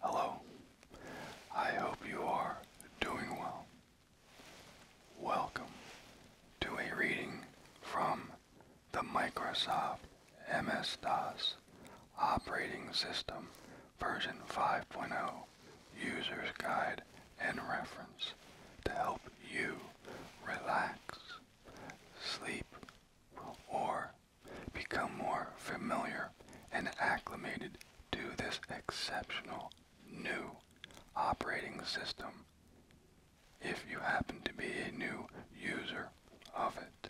Hello. I hope you are doing well. Welcome to a reading from the Microsoft MS-DOS Operating System version 5.0 User's Guide and Reference to help you relax, sleep, or become more familiar and acclimated to this exceptional new operating system if you happen to be a new user of it.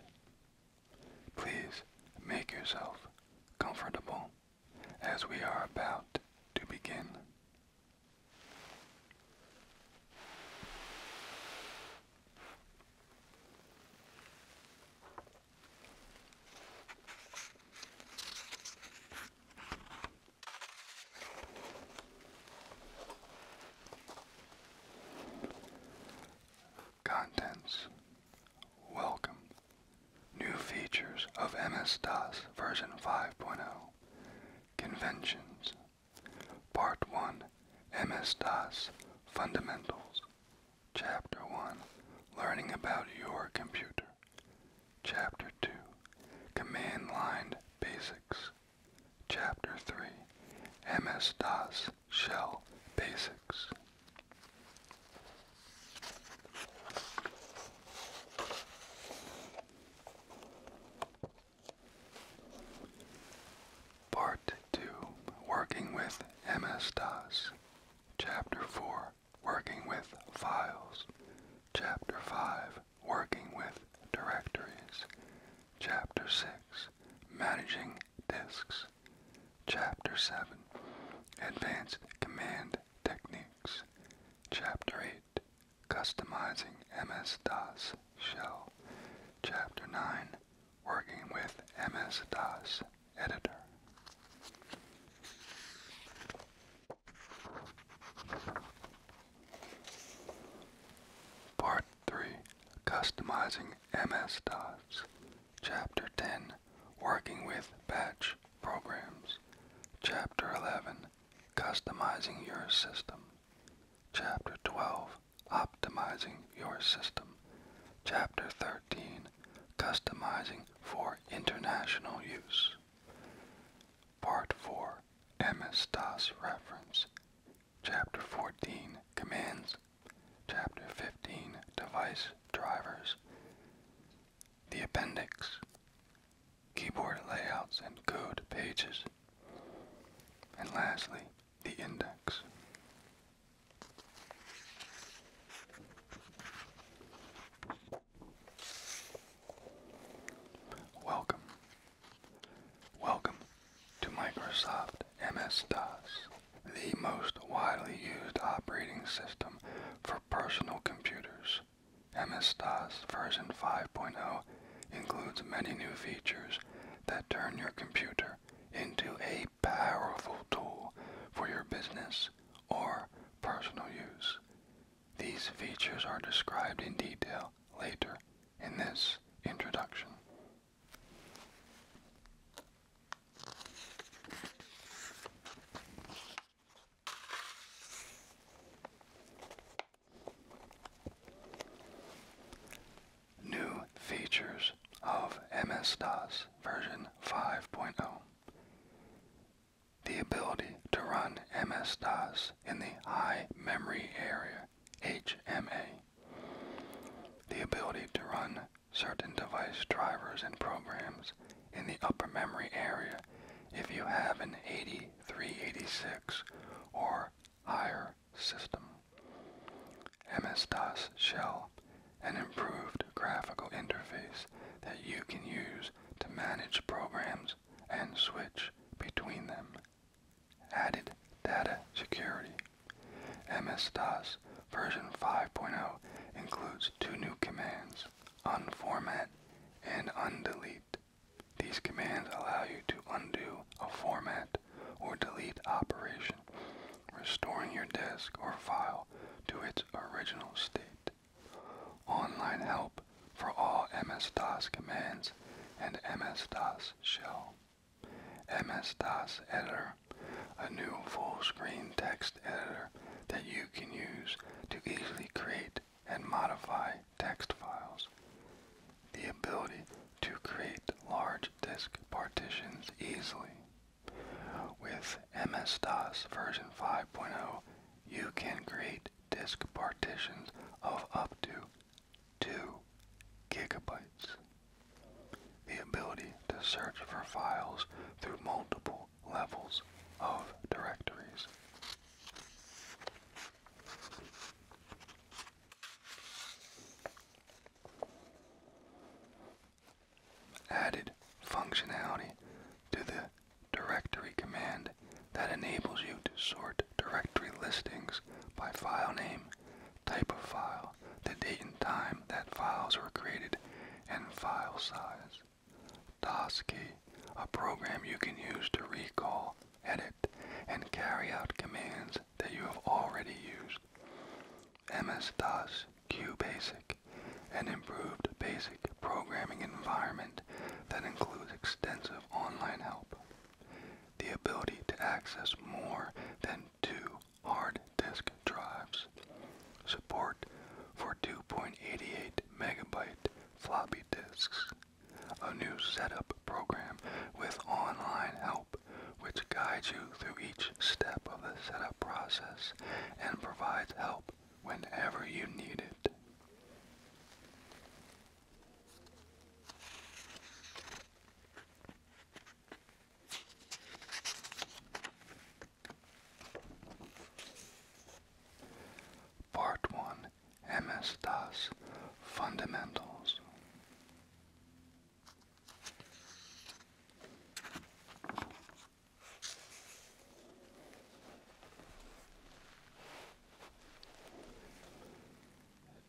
Please make yourself comfortable as we are about to begin. Contents Welcome. New features of MS-DOS version 5.0. Conventions. Part 1 MS-DOS Fundamentals Chapter 1 Learning about your computer Chapter 2 Command Line Basics Chapter 3 MS-DOS Shell Basics Part 2 Working with MS DOS. Chapter 4 Working with Files. Chapter 5 Working with Directories. Chapter 6 Managing Disks. Chapter 7 Advanced Command Techniques. Chapter 8 Customizing MS DOS Shell. Chapter 9 working with MS-DOS editor. Part 3 Customizing MS-DOS Chapter 10 Working with Batch Programs Chapter 11 Customizing Your System Chapter 12 Optimizing Your System. Chapter 13 Customizing for International Use. Part 4 ms Reference. Chapter 14 Commands. Chapter 15 Device Drivers. The Appendix. Keyboard layouts and code pages. And lastly, the index. Welcome. Welcome to Microsoft MS-DOS, the most widely used operating system for personal computers. MS-DOS version 5.0 includes many new features that turn your computer into a powerful tool for your business or personal use. These features are described in detail later in this introduction new features of MS-DOS version 5.0. The ability to run MS-DOS in the High Memory Area, HMA. The ability to run certain device drivers and programs in the upper memory area if you have an 8386 or higher system. MS-DOS shell, an improved graphical interface that you can use to manage programs and switch between them. Added data security. MS-DOS version 5.0 includes two new commands, unformat and undelete. These commands allow you to undo a format or delete operation, restoring your disk or file to its original state. Online help for all MS-DOS commands and MS-DOS shell. MS-DOS editor, a new full-screen text editor that you can use to easily create and modify text files. The ability to create large disk partitions easily. With MS-DOS version 5.0, you can create disk partitions of up to 2 gigabytes. The ability to search for files through multiple levels of directories. Added functionality to the directory command that enables you to sort directory listings by file name, type of file, the date and time that files were created, and file size. DOSKey, a program you can use to recall, edit, and carry out commands that you have already used. MS-DOS, QBasic, an improved basic programming environment that includes extensive online help. The ability to access more than two hard disk drives. Support for 2.88 megabyte floppy disks. A new setup program with online help which guides you through each step of the setup process and provides help whenever you need it. Part 1 MS DOS Fundamentals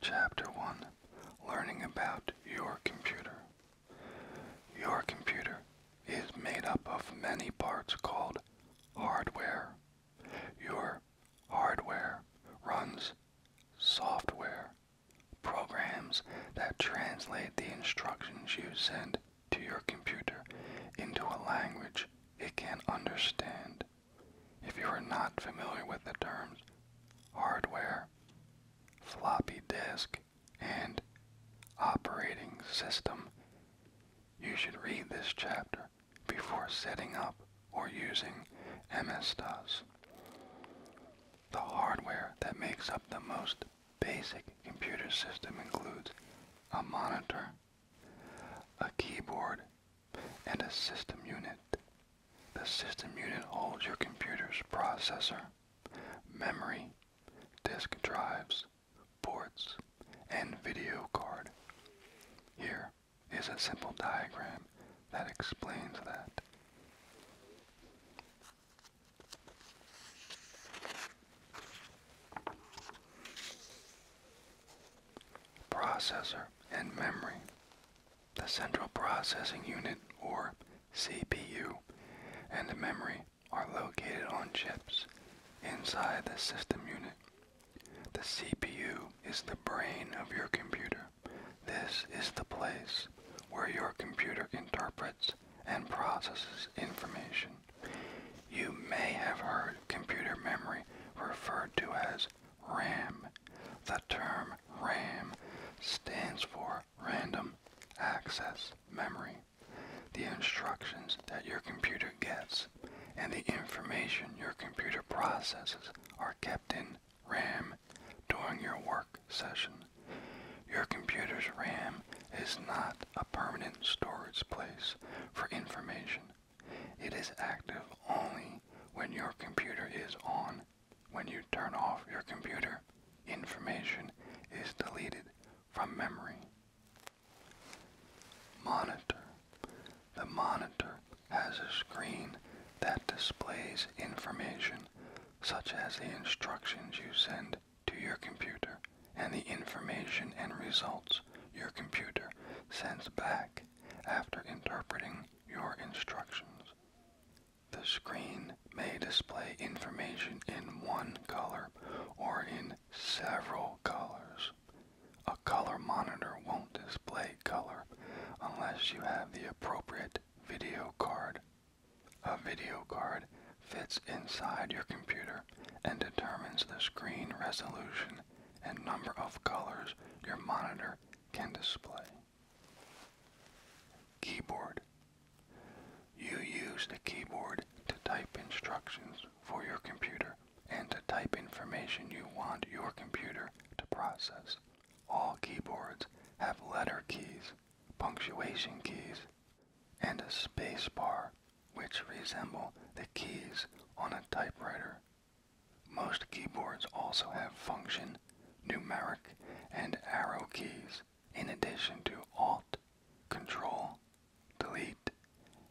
Chapter 1 Learning about your computer. Your computer is made up of many parts called hardware. Your hardware runs software Programs that translate the instructions you send to your computer into a language it can understand. If you are not familiar with the terms hardware, floppy disk, and operating system, you should read this chapter before setting up or using MS-DOS. The hardware that makes up the most basic computer system includes a monitor, a keyboard, and a system unit. The system unit holds your computer's processor, memory, disk drives, ports, and video card. Here is a simple diagram that explains that. Processor and memory. The central processing unit, or CPU, and the memory are located on chips inside the system unit. The CPU is the brain of your computer. This is the place where your computer interprets and processes information. You may have heard computer memory referred to as RAM. The term RAM stands for Random Access Memory. The instructions that your computer gets and the information your computer processes are kept in RAM during your work session. Your computer's RAM is not a permanent storage place for information. It is active only when your computer is on. When you turn off your computer, information is deleted from memory. Monitor. The monitor has a screen that displays information such as the instructions you send to your computer and the information and results your computer sends back after interpreting your instructions. The screen may display information in one color or in several colors. A color monitor won't display color unless you have the appropriate video card? A video card fits inside your computer and determines the screen resolution and number of colors your monitor can display. Keyboard. You use the keyboard to type instructions for your computer and to type information you want your computer to process. All keyboards have letter keys, punctuation keys, and a space bar, which resemble the keys on a typewriter. Most keyboards also have function, numeric, and arrow keys, in addition to Alt, Control, Delete,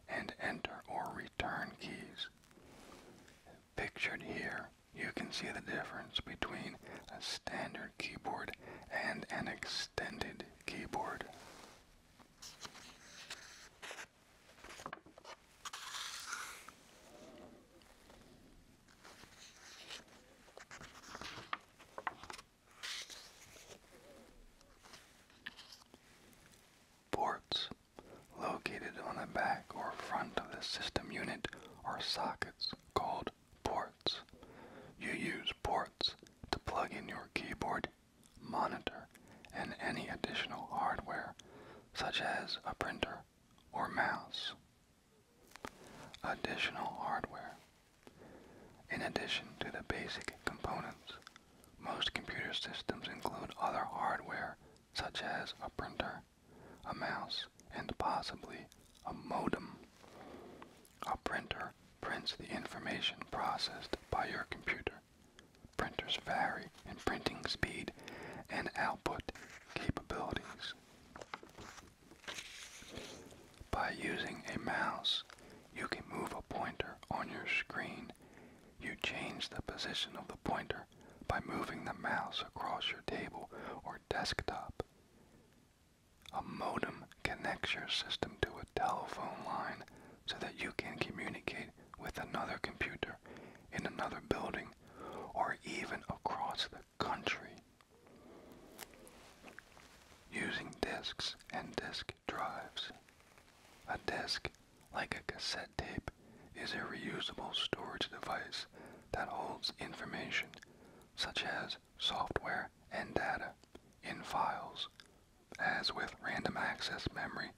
and Enter or Return keys. Pictured here, you can see the difference between a standard keyboard and an extended keyboard. Ports located on the back or front of the system unit are sockets called ports. You use ports to plug in your keyboard, monitor, and any additional hardware, such as a printer or mouse. Additional hardware. In addition to the basic components, most computer systems include other hardware such as a printer a mouse, and possibly a modem. A printer prints the information processed by your computer. Printers vary in printing speed and output capabilities. By using a mouse, you can move a pointer on your screen. You change the position of the pointer by moving the mouse across your table or desktop. A modem connects your system to a telephone line so that you can communicate with another computer in another building or even across the country. Using disks and disk drives. A disk, like a cassette tape, is a reusable storage device that holds information such as software and data in files. As with random access memory,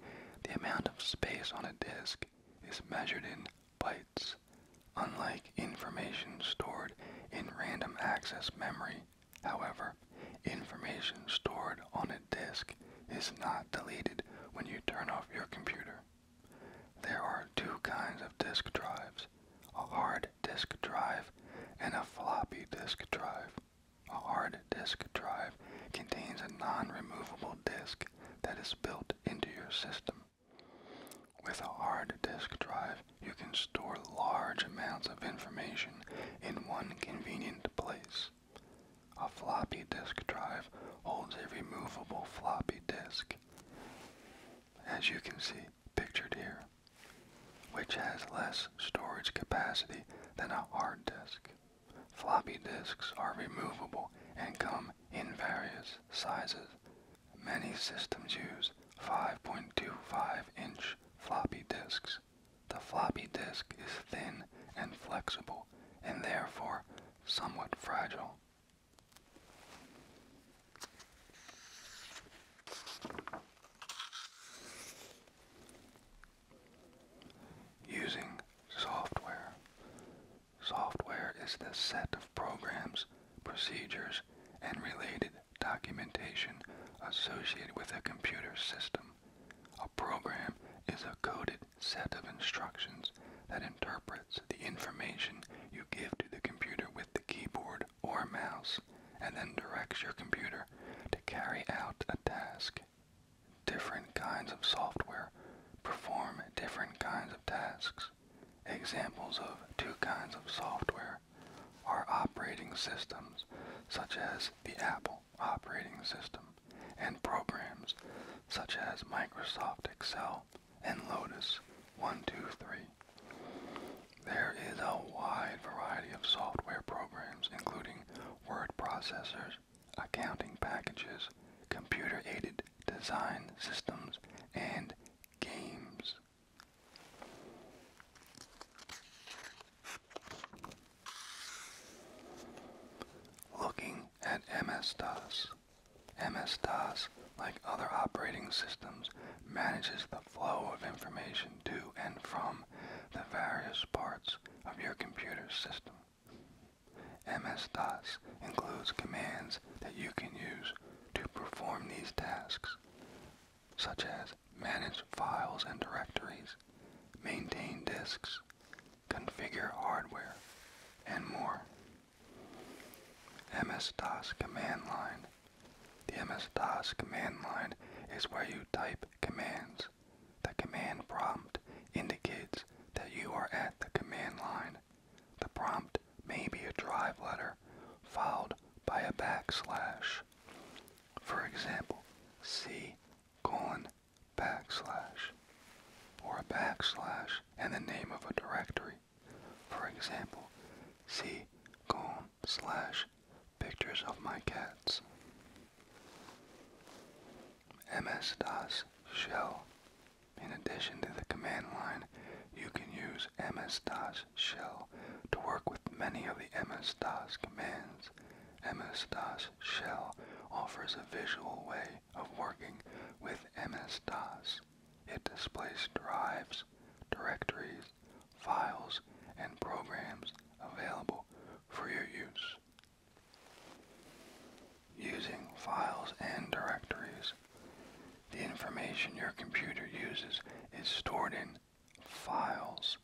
the amount of space on a disk is measured in bytes. Unlike information stored in random access memory, however, information stored on a disk is not deleted when you turn off your computer. There are two kinds of disk drives, a hard disk drive and a floppy disk drive. A hard disk drive contains a non-removable disk that is built into your system. With a hard disk drive, you can store large amounts of information in one convenient place. A floppy disk drive holds a removable floppy disk as you can see pictured here, which has less storage capacity than a hard disk. Floppy disks are removable and come in various sizes. Many systems use 5.25 inch floppy disks. The floppy disk is thin and flexible and therefore somewhat fragile. Using software. Software is the set of programs, procedures, and related documentation associated with a computer system. A program is a coded set of instructions that interpret the information you give to the computer with the keyboard or mouse, and then directs your computer to carry out a task. Different kinds of software perform different kinds of tasks. Examples of two kinds of software are operating systems, such as the Apple operating system, and programs, such as Microsoft Excel and Lotus 123. There is a wide variety of software programs including word processors, accounting packages, computer-aided design systems, and games. Looking at MS-DOS MS-DOS, like other operating systems, manages the flow of information to and from the various parts of your computer system. MS-DOS includes commands that you can use to perform these tasks, such as manage files and directories, maintain disks, configure hardware, and more. MS-DOS command line. The MS-DOS command line is where you type commands. The command prompt indicates that you are at the command line. The prompt may be a drive letter followed by a backslash. For example, C or a backslash and the name of a directory. For example, see com slash pictures of my cats. MS-DOS shell. In addition to the command line, you can use MS-DOS shell to work with many of the MS-DOS commands. MS-DOS shell offers a visual way of working with MS-DOS. It displays drives, directories, files, and programs available for your use. Using files and directories. The information your computer uses is stored in files.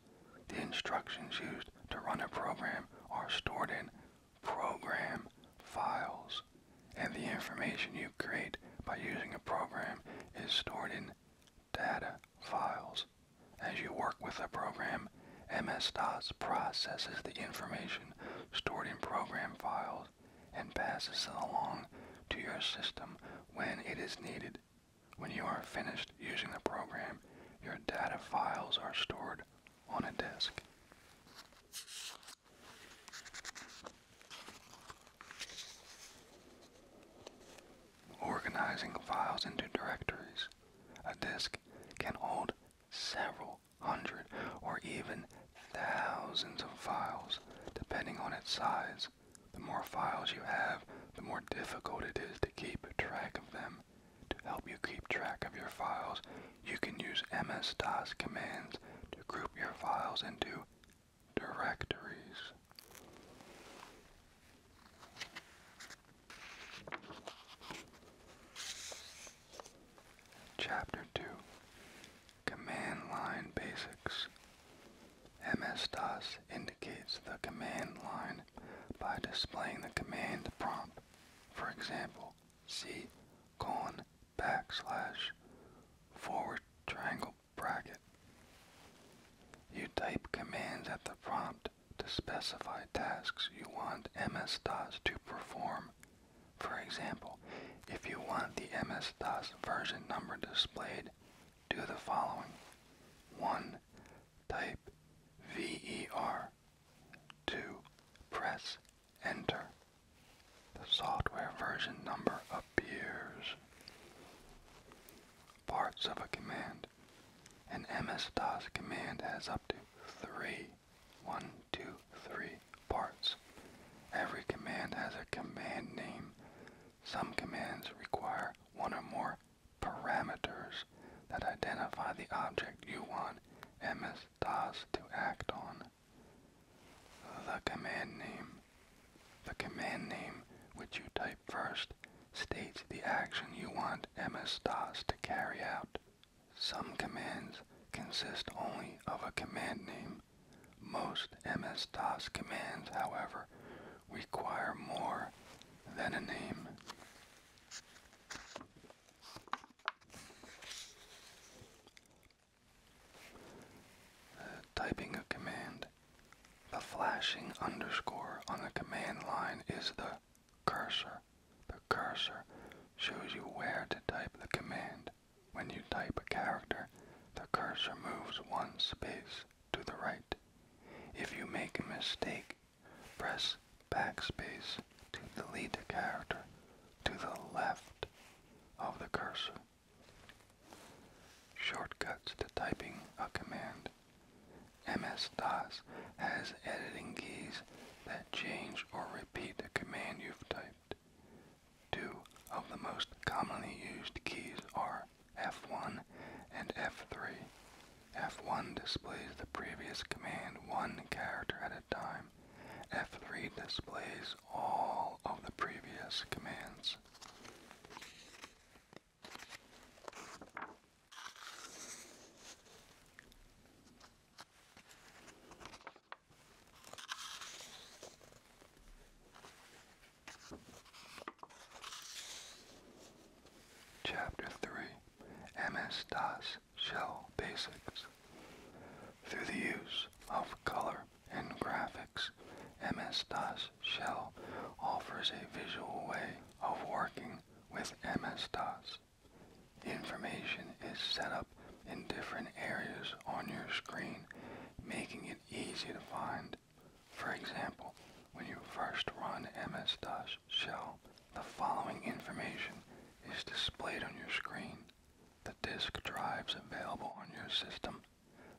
The instructions used to run a program are stored in program files and the information you create by using a program is stored in data files. As you work with a program, MS-DOS processes the information stored in program files and passes it along to your system when it is needed. When you are finished using the program, your data files are stored on a disk. Organizing files into directories. A disk can hold several hundred or even thousands of files, depending on its size. The more files you have, the more difficult it is to keep track of them. To help you keep track of your files, you can use MS-DOS commands to group your files into directories. Chapter 2 Command Line Basics MS-DOS indicates the command line by displaying the command prompt. For example, C colon backslash forward triangle bracket. You type commands at the prompt to specify tasks you want MS-DOS to perform. For example, if you want the MS-DOS version number displayed, do the following. 1. Type VER. 2. Press Enter. The software version number appears. Parts of a command. An MS-DOS command has up to three, one, two, three parts. Every command has a command name. Some commands require one or more parameters that identify the object you want MS-DOS to act on. The command name. The command name which you type first states the action you want MS-DOS to carry out. Some commands consist only of a command name. Most MS-DOS commands, however, require more than a name. Uh, typing a command. The flashing underscore on the command line is the cursor. The cursor shows you where to type the command. When you type a character, the cursor moves one space to the right. If you make a mistake, press backspace to delete a character to the left of the cursor. Shortcuts to typing a command. MS-DOS has editing keys that change or repeat the command you've typed. Two of the most commonly used keys are F1 and F3. F1 displays the previous command one character at a time, F3 displays all of the previous commands. Chapter 3 MS DOS Shell Basics Through the use of color in graphics, MS-DOS shell offers a visual way of working with MS-DOS. Information is set up in different areas on your screen, making it easy to find. For example, when you first run MS-DOS shell, the following information is displayed on your screen the disk drives available on your system,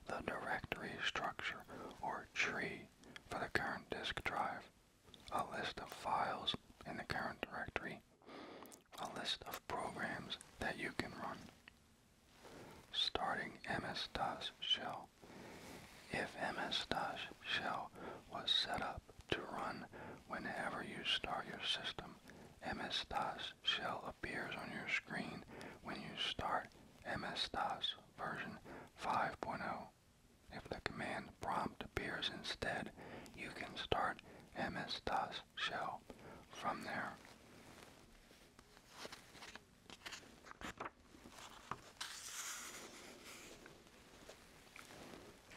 the directory structure or tree for the current disk drive, a list of files in the current directory, a list of programs that you can run. Starting MS-DOS shell. If MS-DOS shell was set up to run whenever you start your system, MS-DOS shell appears on your screen when you start MS-DOS version 5.0. If the command prompt appears instead, you can start MS-DOS shell from there.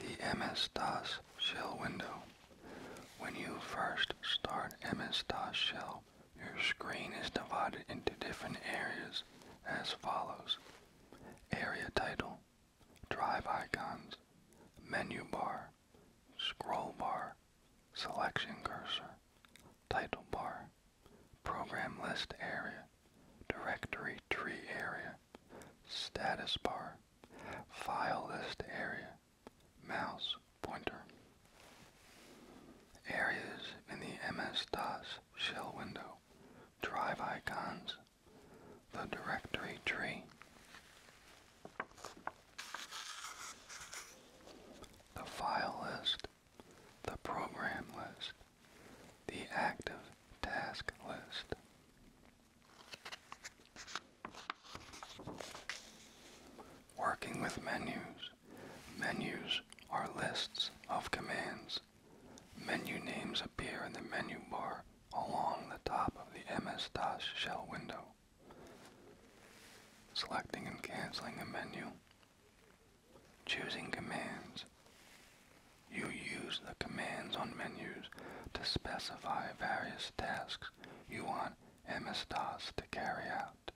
The MS-DOS shell window when you first start MS-DOS shell, your screen is divided into different areas as follows. Area title, drive icons, menu bar, scroll bar, selection cursor, title bar, program list area, directory tree area, status bar, file list area, mouse pointer. Areas in the MS-DOS shell window, drive icons, the directory tree, the file list, the program list, the active task list. Working with menus. Menus are lists of commands. Menu names appear in the menu bar along the top of the MS-DOS shell window. Selecting and canceling a menu. Choosing commands. You use the commands on menus to specify various tasks you want MS tasks to carry out.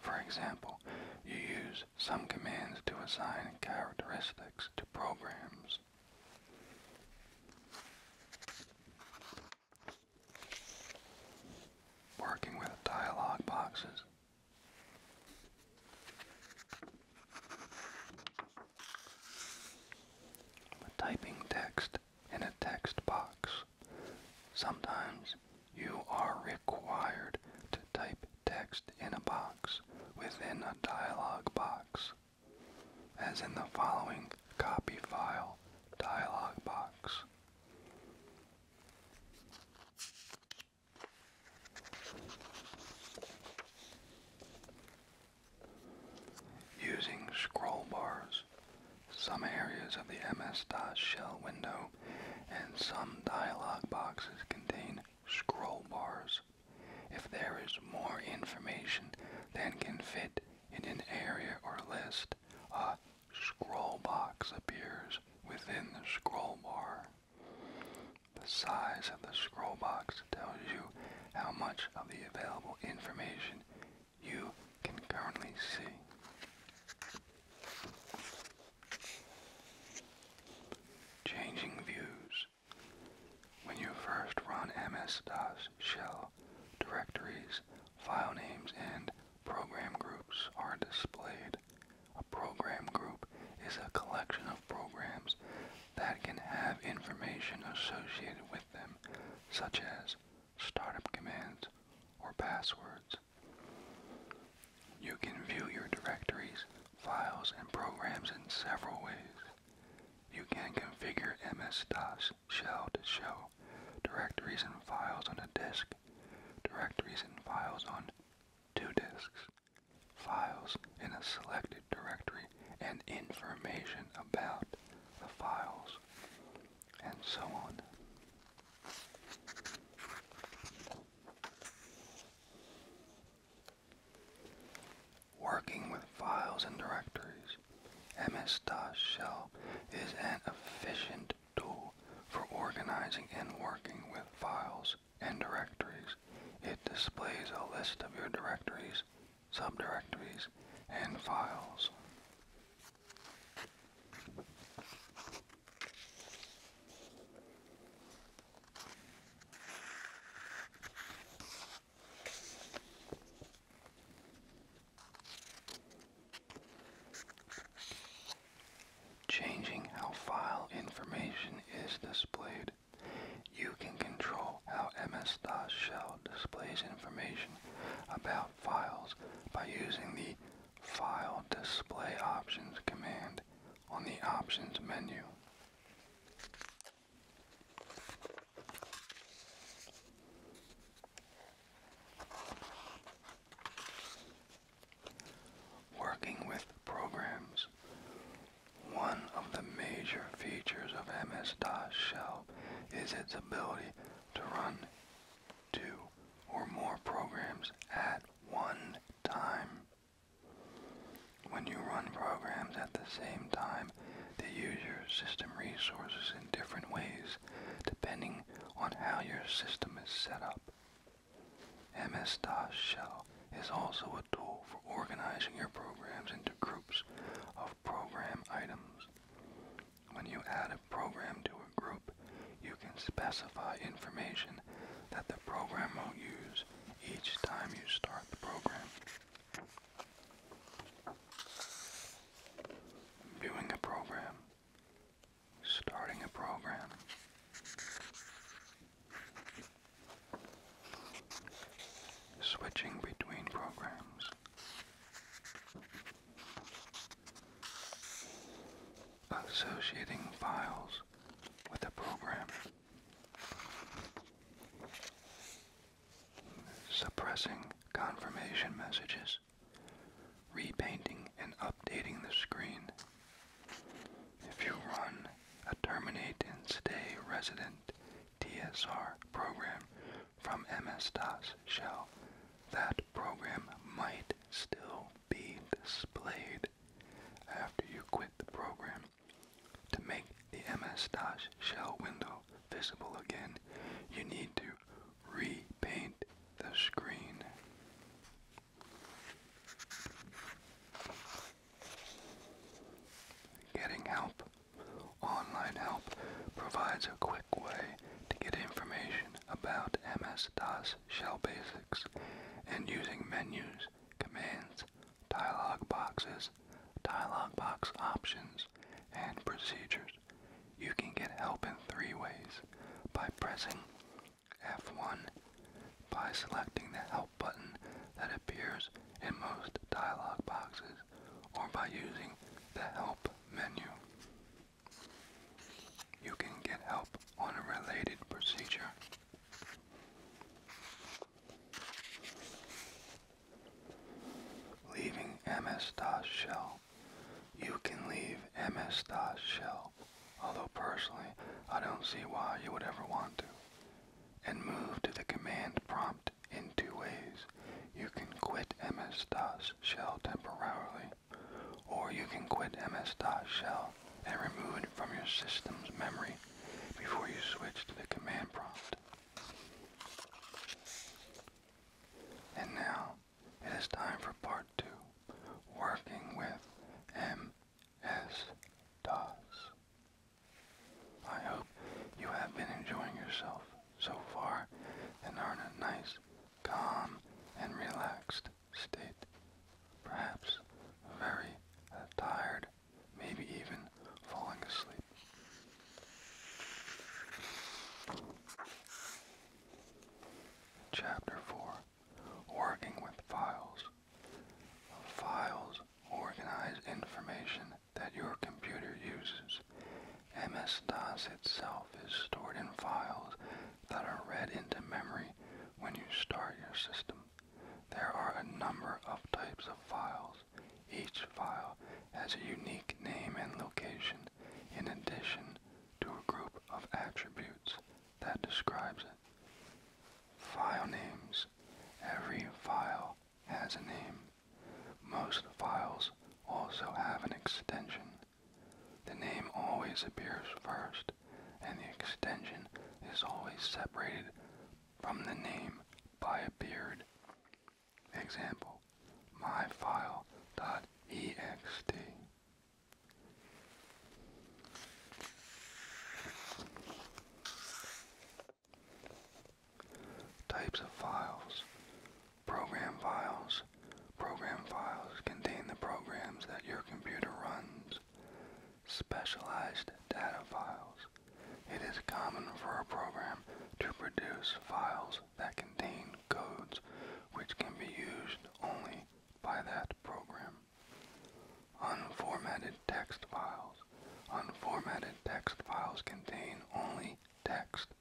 For example, you use some commands to assign characteristics to programs. Working with dialog boxes. typing text in a text box. Sometimes you are required to type text in a box within a dialog box, as in the following copy file dialog box. Using scroll bars, some areas of the MS-DOS shell window and some dialog boxes contain scroll bars. If there is more information than can fit in an area or list, a scroll box appears within the scroll bar. The size of the scroll box tells you how much of the available information you can currently see. Changing views. When you first run MS-DOS shell, directories, file names, and program groups are displayed. A program group is a collection of programs that can have information associated with them, such as startup commands, or passwords. You can view your directories, files, and programs in several ways. You can configure MS-DOS shell to show directories and files on a disk, directories and files on two disks, files in a selected directory, and information about the files and so on. Working with files and directories, MS-DOS shell is an efficient tool for organizing and working with files and directories. It displays a list of your directories, subdirectories, and files. Changing how file information is displayed. You can control how MS-DOS shell displays information about files by using the File Display Options command on the Options menu. Working with programs. One of the major features of MS-DOS shell is its ability to run two, or more programs at one time. When you run programs at the same time, they use your system resources in different ways depending on how your system is set up. MS-DOS shell is also a tool for organizing your programs into groups of program items. When you add a program to a group, you can specify information that the program will use each time you start the program. Viewing a program. Starting a program. Switching between programs associating files with a program, suppressing confirmation messages, repainting and updating the screen. If you run a terminate and stay resident TSR program from MS-DOS shell, that program might still be displayed after you quit the program. To make the MS-DOS shell window visible again, you need to repaint the screen. Getting help Online help provides a quick way to get information about MS-DOS shell basics and using menus, commands, dialog boxes, dialog box options, and procedures. You can get help in three ways, by pressing F1, by selecting the help button that appears in most dialog boxes, or by using the help menu. You can get help on a related procedure. Leaving MS-DOS shell. You can leave MS-DOS shell, although personally I don't see why you would ever want to, and move to the command prompt in two ways you can quit ms shell temporarily, or you can quit ms shell and remove it from your system's memory before you switch to the command prompt. And now, it is time for part two, working with ms I hope you have been enjoying yourself so far and are in a nice, calm, and relaxed state. Perhaps very uh, tired, maybe even falling asleep. Chapter 4 Working with Files Files organize information that your computer uses. MS-DOS itself is stored in files that are read into memory when you start your system. There are a number of types of files. Each file has a unique name and location in addition to a group of attributes that describes it. File names. Every file has a name. Most files also have an extension. The name always appears first, and the extension is always separated from the name by a period. Example, myfile.ext. Types of files. Program files. Program files contain the programs that your computer runs. Specialized data files. It is common for a program to produce files that contain codes which can be used only by that program. Unformatted text files. Unformatted text files contain only text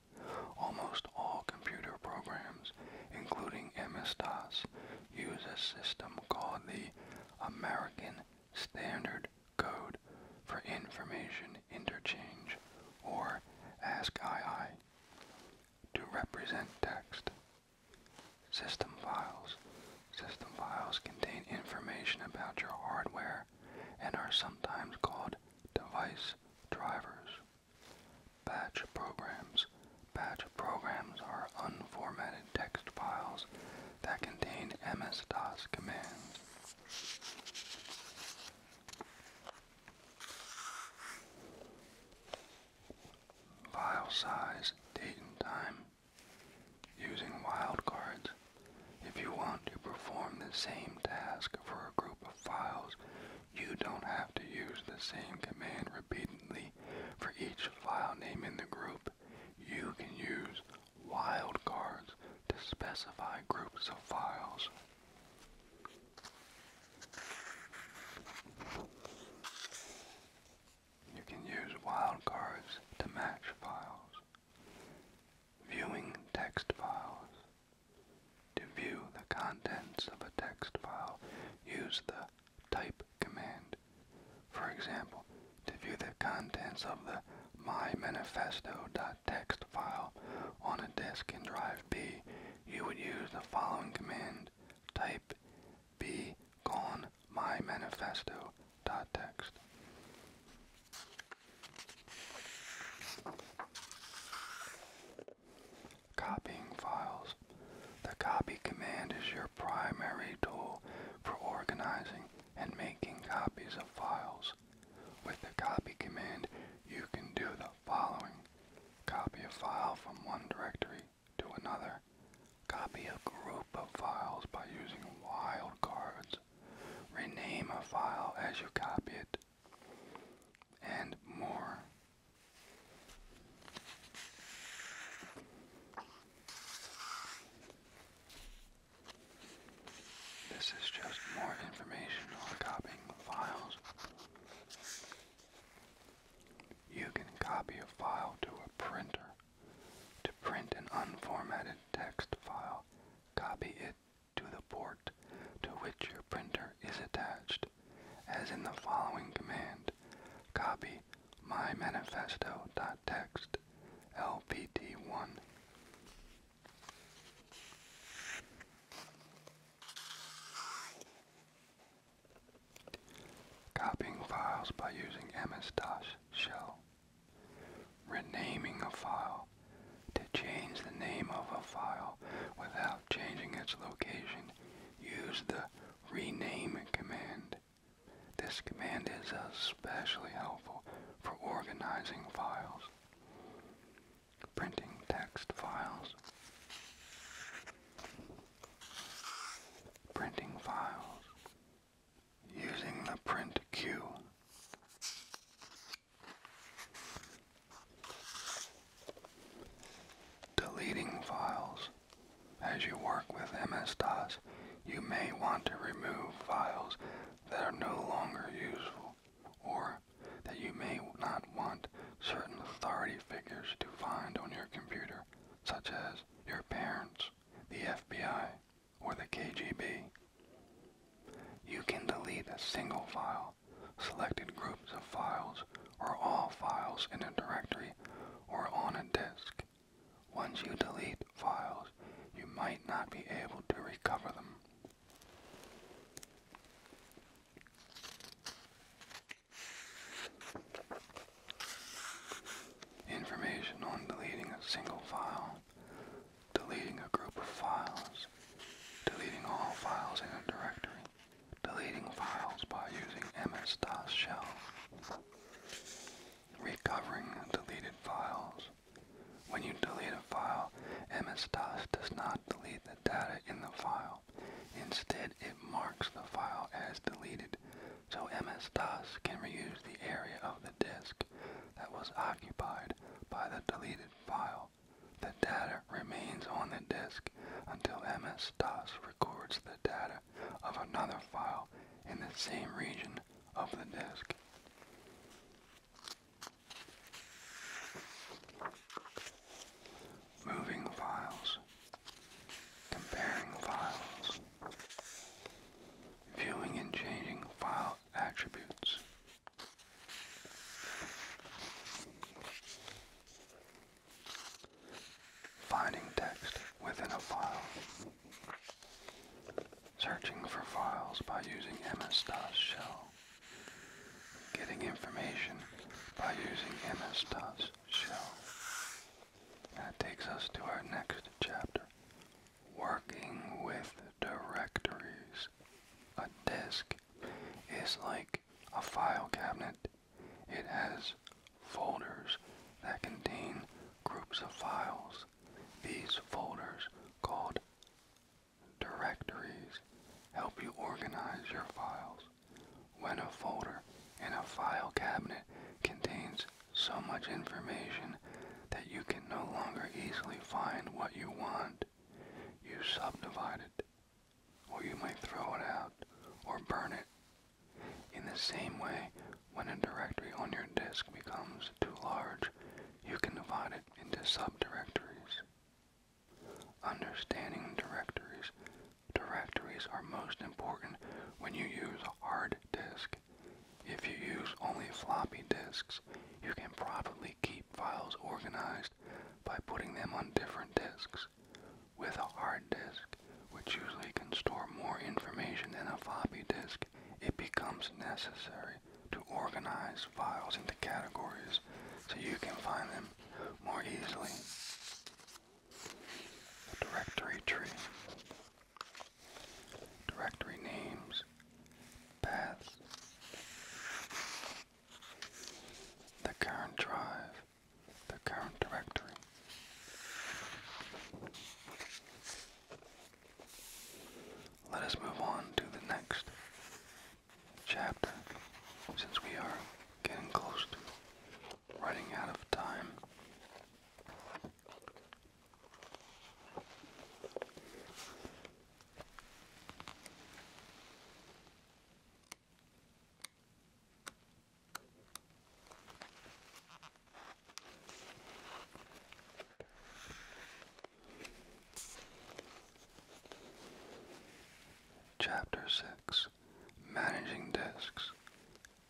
Almost all computer programs, including MS-DOS, use a system called the American Standard Code for Information Interchange, or ASCII, to represent text. System files. System files contain information about your hardware and are sometimes called device drivers. Batch programs. Batch programs are unformatted text files that contain MS-DOS commands. File size, date and time. Using wildcards. If you want to perform the same task for a group of files you don't have to use the same command repeatedly for each file name in the group. You can use wildcards to specify groups of files. You can use wildcards to match files. Viewing text files. To view the contents of a text file, use the type command. For example, to view the contents of the mymanifesto.txt file on a disk in drive B, you would use the following command, type b mymanifesto.txt. Copying files. The copy command is your primary tool for organizing and making copies of files. With the copy command, you can do the following. Copy a file from one directory to another. Copy a group of files by using wildcards. Rename a file as you copy it and more. This is just more information on copying files. You can copy a file to a printer. To print an unformatted text file, copy it to the port to which your printer is attached, as in the following command. Copy mymanifesto.txt lpt1. Copying files by using MS-DOS shell. Renaming a file to change the name of a file without changing its location, use the rename command. This command is especially helpful for organizing files. Printing text files. Printing files. Using the print queue. Deleting files. As you work with MS-DOS, you may want to remove files that are no longer useful, or that you may not want certain authority figures to find on your computer, such as your parents, the FBI, or the KGB. You can delete a single file Selected groups of files or all files in a directory or on a disk. Once you delete files, you might not be able to recover them. Information on deleting a single file, deleting a group of files, deleting all files in a directory, deleting files by using ms-dos shell, recovering deleted files. When you delete a file, ms-dos does not delete the data in the file. Instead, it marks the file as deleted, so ms-dos can reuse the area of the disk that was occupied by the deleted file. The data remains on the disk until MS-DOS records the data of another file in the same region of the disk. Moving files. Comparing files. Viewing and changing file attributes. Finding text within a file. Searching for files by using MS-DOS shell. Getting information by using MS-DOS shell. That takes us to our next chapter. Working with directories. A disk is like a file cabinet. It has folders that contain groups of files. These folders, called directories, help you organize your files. When a folder in a file cabinet contains so much information that you can no longer easily find what you want, you subdivide it, or you might throw it out or burn it. In the same way, when a directory on your disk becomes too large, you can divide it into subdirectories. Understanding directories. Directories are most important when you use a hard disk. If you use only floppy disks, you can probably keep files organized by putting them on different disks, with a hard disk, which usually can store more information than a floppy disk, it becomes necessary to organize files into categories so you can find them more easily. directory tree. Directory names, paths, the current drive, the current directory. Let us move on to the next chapter since we are getting close to running out of time. Chapter 6 Managing Disks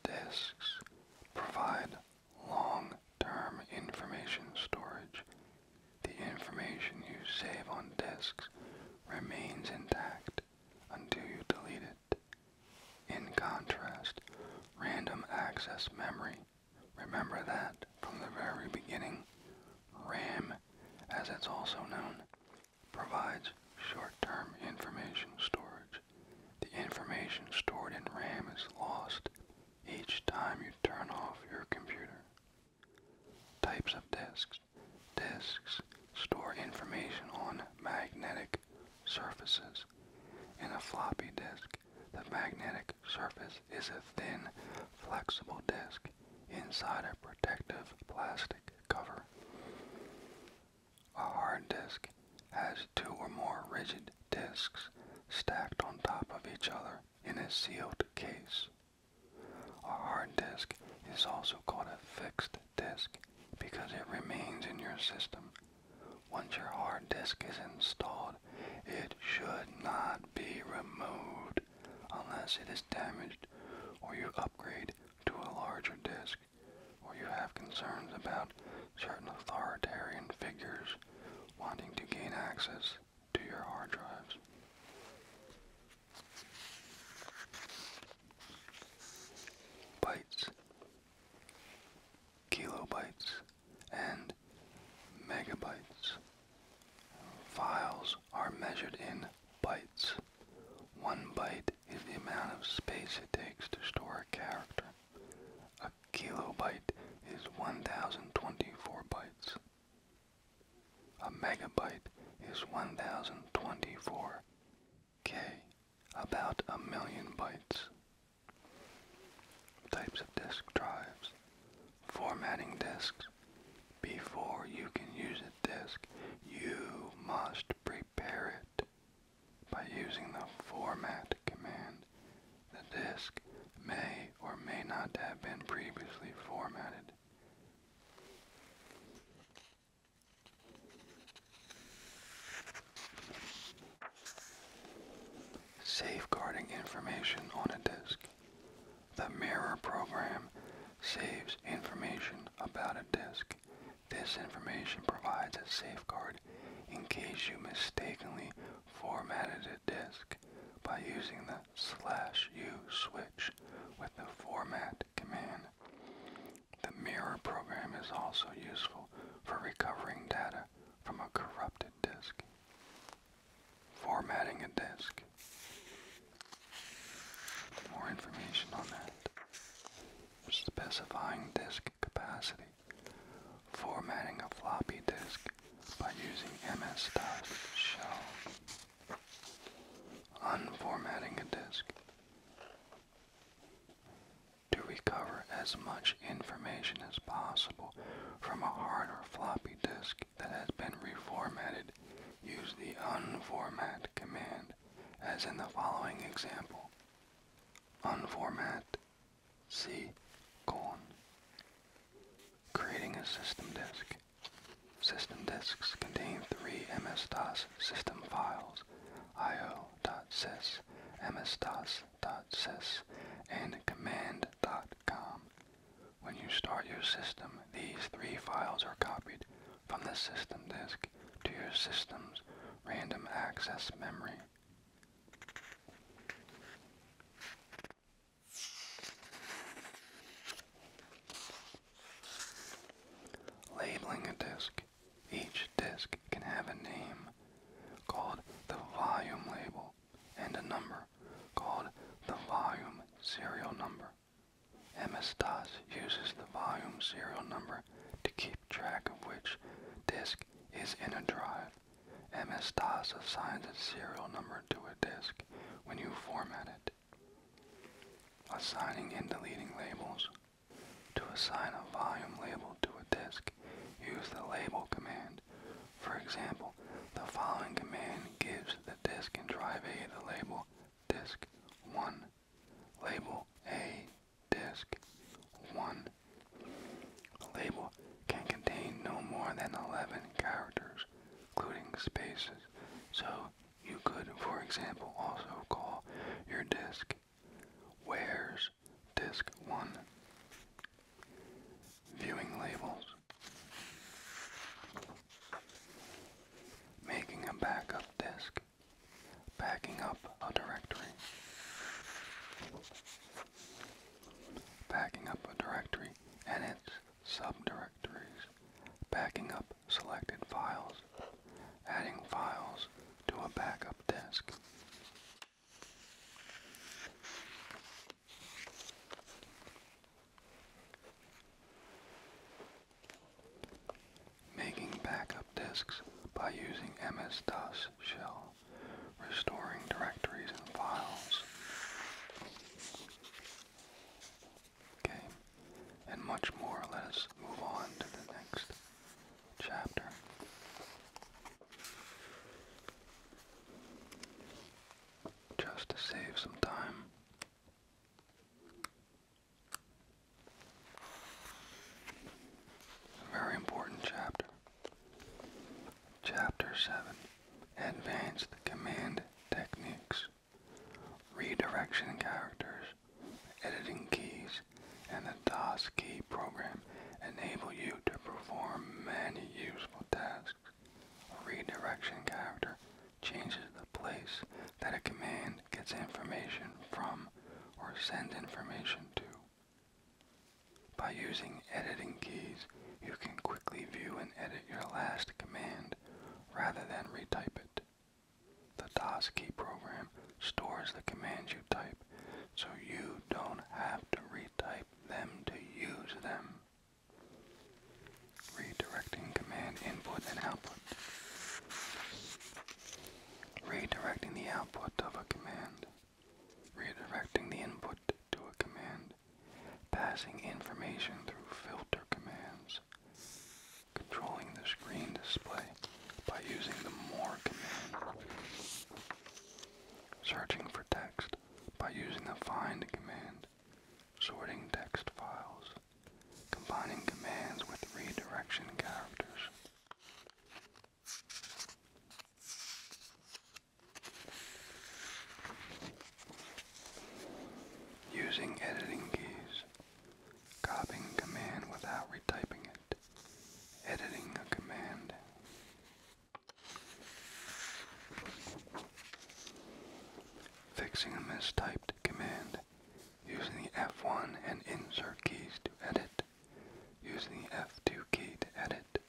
Disks provide long term information storage the information you save on disks remains intact until you delete it. In contrast, random access memory, remember that from the very beginning, RAM, as it's also known, provides short-term information storage. The information stored in RAM is lost each time you turn off your computer. Types of disks. Disks store information on magnetic surfaces. In a floppy disk, the magnetic surface is a thin, flexible disk inside a protective plastic cover. A hard disk has two or more rigid disks stacked on top of each other in a sealed case. A hard disk is also called a fixed disk because it remains in your system. Once your hard disk is installed, it should not be removed unless it is damaged or you upgrade to a larger disk or you have concerns about certain authoritarian figures wanting to gain access to your hard drives. Bytes, kilobytes, and megabytes. Files are measured in bytes. One byte is the amount of space it takes to store a character. A kilobyte is 1024 bytes. A megabyte is 1024 K, about a million bytes. Types of disk drives. Formatting disks. Before you can use a disk, you must prepare it by using the format command. The disk may or may not have been previously formatted. Safeguarding information on a disk. The mirror program saves information about a disk. This information provides a safeguard in case you mistakenly formatted a disk by using the slash U switch with the format command. The mirror program is also useful for recovering data from a corrupted disk. Formatting a disk. More information on that. Specifying disk capacity. Formatting a floppy disk by using MS-DOS shell unformatting a disk to recover as much information as possible from a hard or floppy disk that has been reformatted, use the unformat command as in the following example. Unformat C colon. Creating a system disk. System disks contain three MS-DOS system files, io.sys, msdos.sys, and command.com. When you start your system, these three files are copied from the system disk to your system's random access memory. Labeling a disk. Each disk can have a name called the volume label and a number called the volume serial number. MS-DOS uses the volume serial number to keep track of which disk is in a drive. MS-DOS assigns a serial number to a disk when you format it. Assigning and deleting labels. To assign a volume label to a disk, use the label command. For example, the following command gives the disk in drive A the label disk 1, label A disk 1. label can contain no more than 11 characters including spaces. So you could, for example, also call your disk where's disk 1. Viewing labels. Making a backup disk. Backing up a directory. Backing up a directory and its subdirectories, backing up selected files, adding files to a backup disk. Making backup disks by using MS-DOS shell, restoring directories and files. Okay, and much more. Let us move on to the next chapter. Just to save some time. A very important chapter. Chapter 7 Advanced Command Techniques redirection characters, editing keys, and the DOS key program enable you to perform many useful tasks. A redirection character changes the place that a command gets information from or sends information to. By using editing keys, you can quickly view and edit your last command rather than retype it. The key program stores the commands you type so you don't have to retype them to use them. Redirecting command input and output. Redirecting the output of a command. Redirecting the input to a command passing information through filter commands, controlling the screen display by using the more command, searching for text by using the find command, sorting text files, combining commands with redirection characters. Using editing keys, copying a command without retyping it, editing a command. Fixing a mistyped command, using the F1 and insert keys to edit, using the F2 key to edit,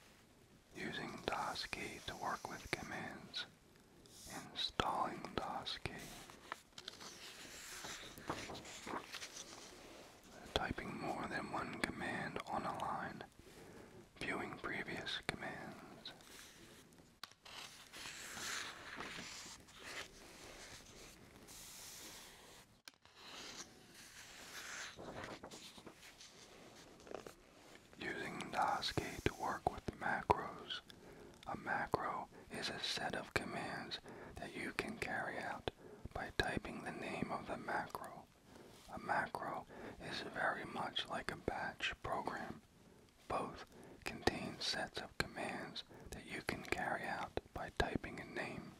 using DOS key to work with commands, installing DOSKey. Typing more than one command on a line. Viewing previous commands. Using ASCII to work with macros. A macro is a set of commands that you can carry out by typing the name of the macro. A macro is very much like a batch program. Both contain sets of commands that you can carry out by typing a name.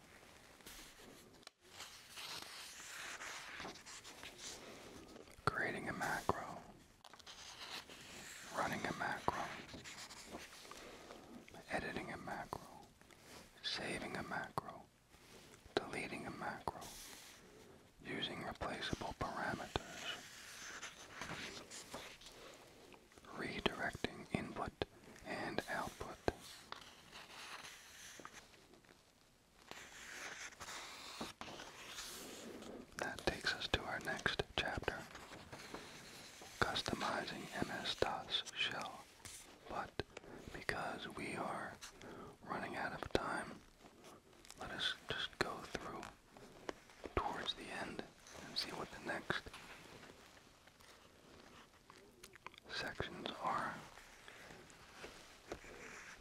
Creating a macro running a macro, editing a macro, saving a macro, deleting a macro, using replaceable parameters, redirecting input and output, that takes us to our next chapter, customizing MS-DOS shell. But because we are running out of time, let us just go through towards the end and see what the next sections are.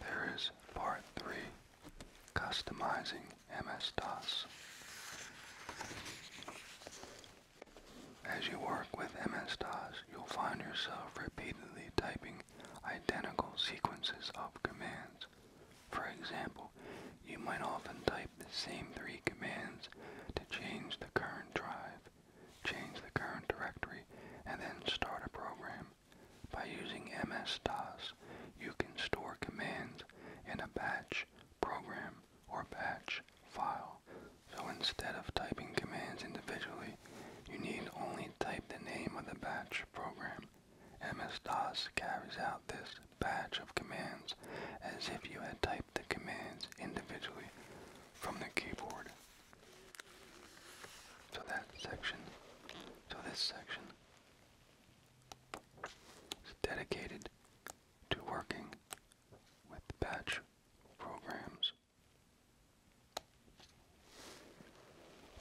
There is part three Customizing MS-DOS. As you work with MS-DOS, you'll find yourself repeatedly typing identical sequences of commands. For example, you might often type the same three commands to change the current drive, change the current directory, and then start a program. By using MS-DOS, you can store commands in a batch program or batch file. So instead of typing commands individually, you need only type the name of the batch program. MS-DOS carries out this batch of commands as if you had typed the commands individually from the keyboard. So that section, so this section dedicated to working with batch programs.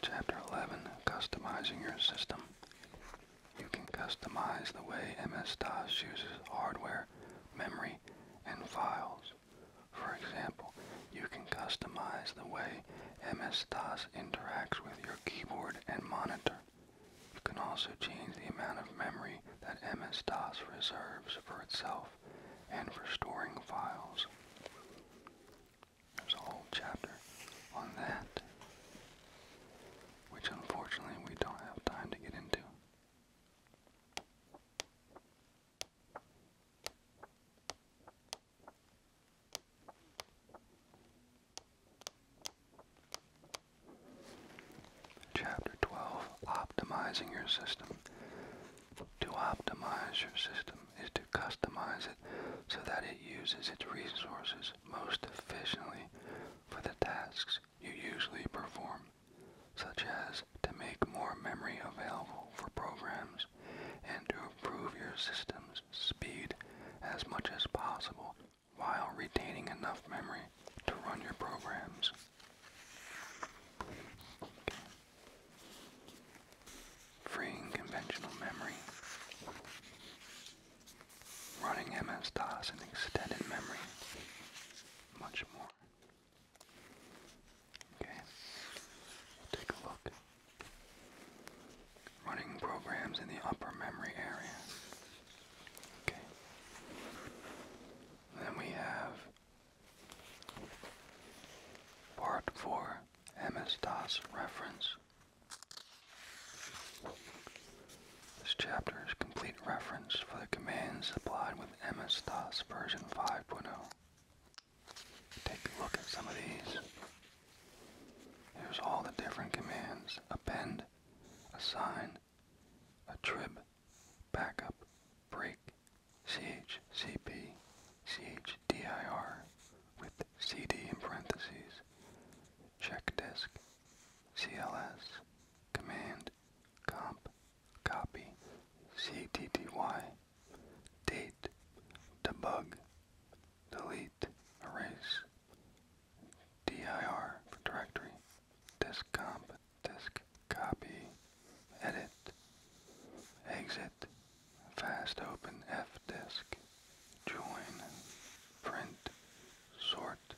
Chapter 11 Customizing Your System. You can customize the way MS DOS uses hardware, memory, and files. For example, you can customize the way MS DOS interacts with your keyboard and monitor. You can also change the amount of memory that MS-DOS reserves for itself and for storing files. There's a whole chapter on that, which unfortunately we don't have time to get into. Chapter 12 Optimizing Your System. To optimize your system is to customize it so that it uses its resources most efficiently for the tasks you usually perform, such as to make more memory available for programs and to improve your system's speed as much as possible while retaining enough memory to run your programs. Freeing conventional memory. Running MS-DOS in extended memory. Much more. Okay. Take a look running programs in the upper memory area. Okay. Then we have part four MS DOS reference. This chapter is complete reference for the commands applied with MS DOS version 5.0. Take a look at some of these. Here's all the different commands. Append, assign, a trip, backup, break, chcp, chdir with cd in parentheses, check disk, cls, command, comp, copy, ctty, date, debug, delete, erase, dir directory, disk comp, disk copy, edit, exit, fast open f disk, join, print, sort,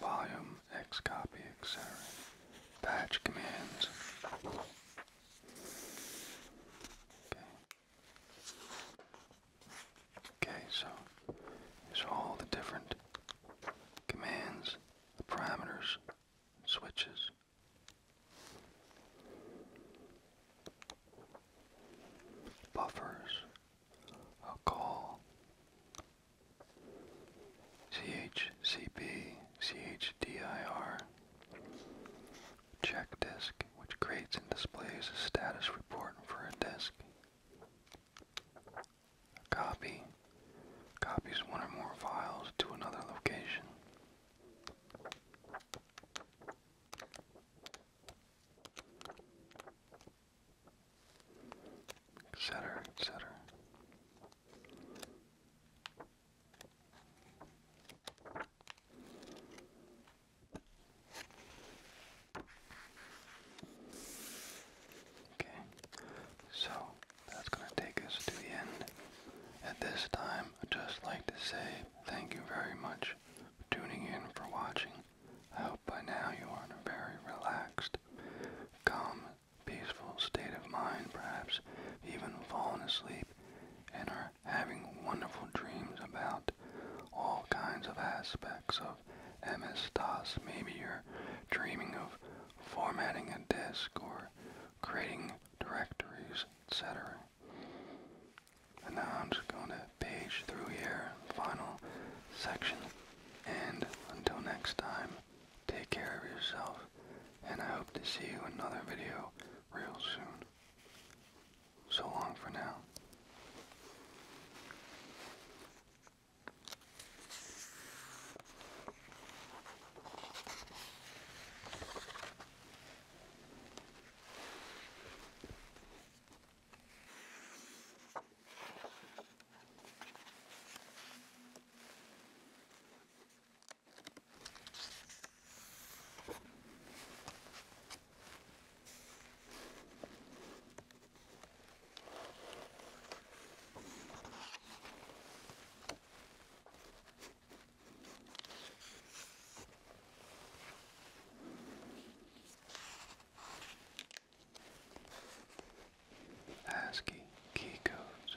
volume, x copy, etc. Batch commands. Okay, so here's all the different commands, the parameters, switches. Buffers, a call, CHCP, CHDIR, check disk, which creates and displays a status report for a disk. copy copies one or more files to another location. Etc. Etc. Okay, so that's going to take us to the end. At this time, I'd just like to say thank you very much for tuning in, for watching. I hope by now you are in a very relaxed, calm, peaceful state of mind, perhaps even fallen asleep, and are having wonderful dreams about all kinds of aspects of MS-DOS. Maybe you're dreaming of formatting a disk or creating directories, etc. And now I'm just going to page through here, final section. And until next time, take care of yourself. And I hope to see you in another video real soon so long for now. ASCII key codes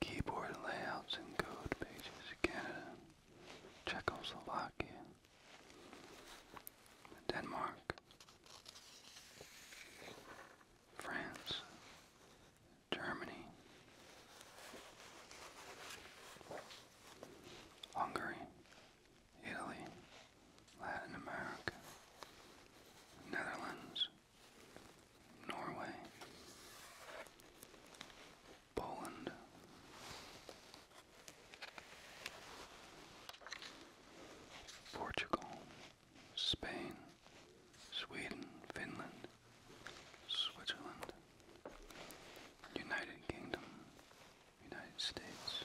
Keyboard layouts and code pages, Canada, Czechoslovakia, Denmark, France, Germany, Hungary, Italy, Latin America, Netherlands, Norway, Poland. Portugal, Spain, Sweden, Finland, Switzerland, United Kingdom, United States,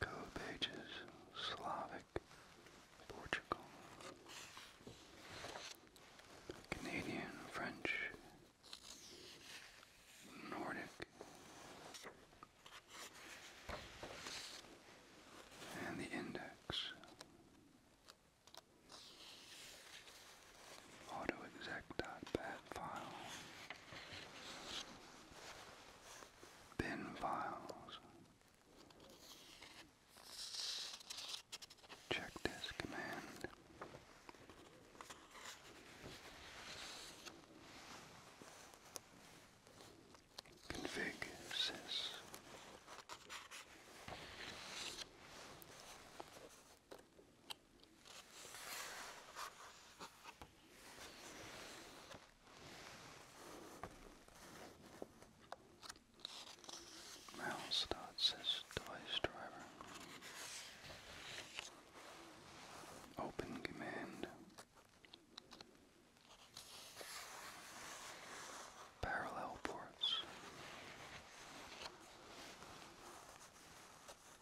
Code pages Slavic, Portugal, Canadian, French, Nordic, and the index. AutoExec.bat file bin files. Check this command. Config sys. Mal starts his device driver. Open command. Parallel ports.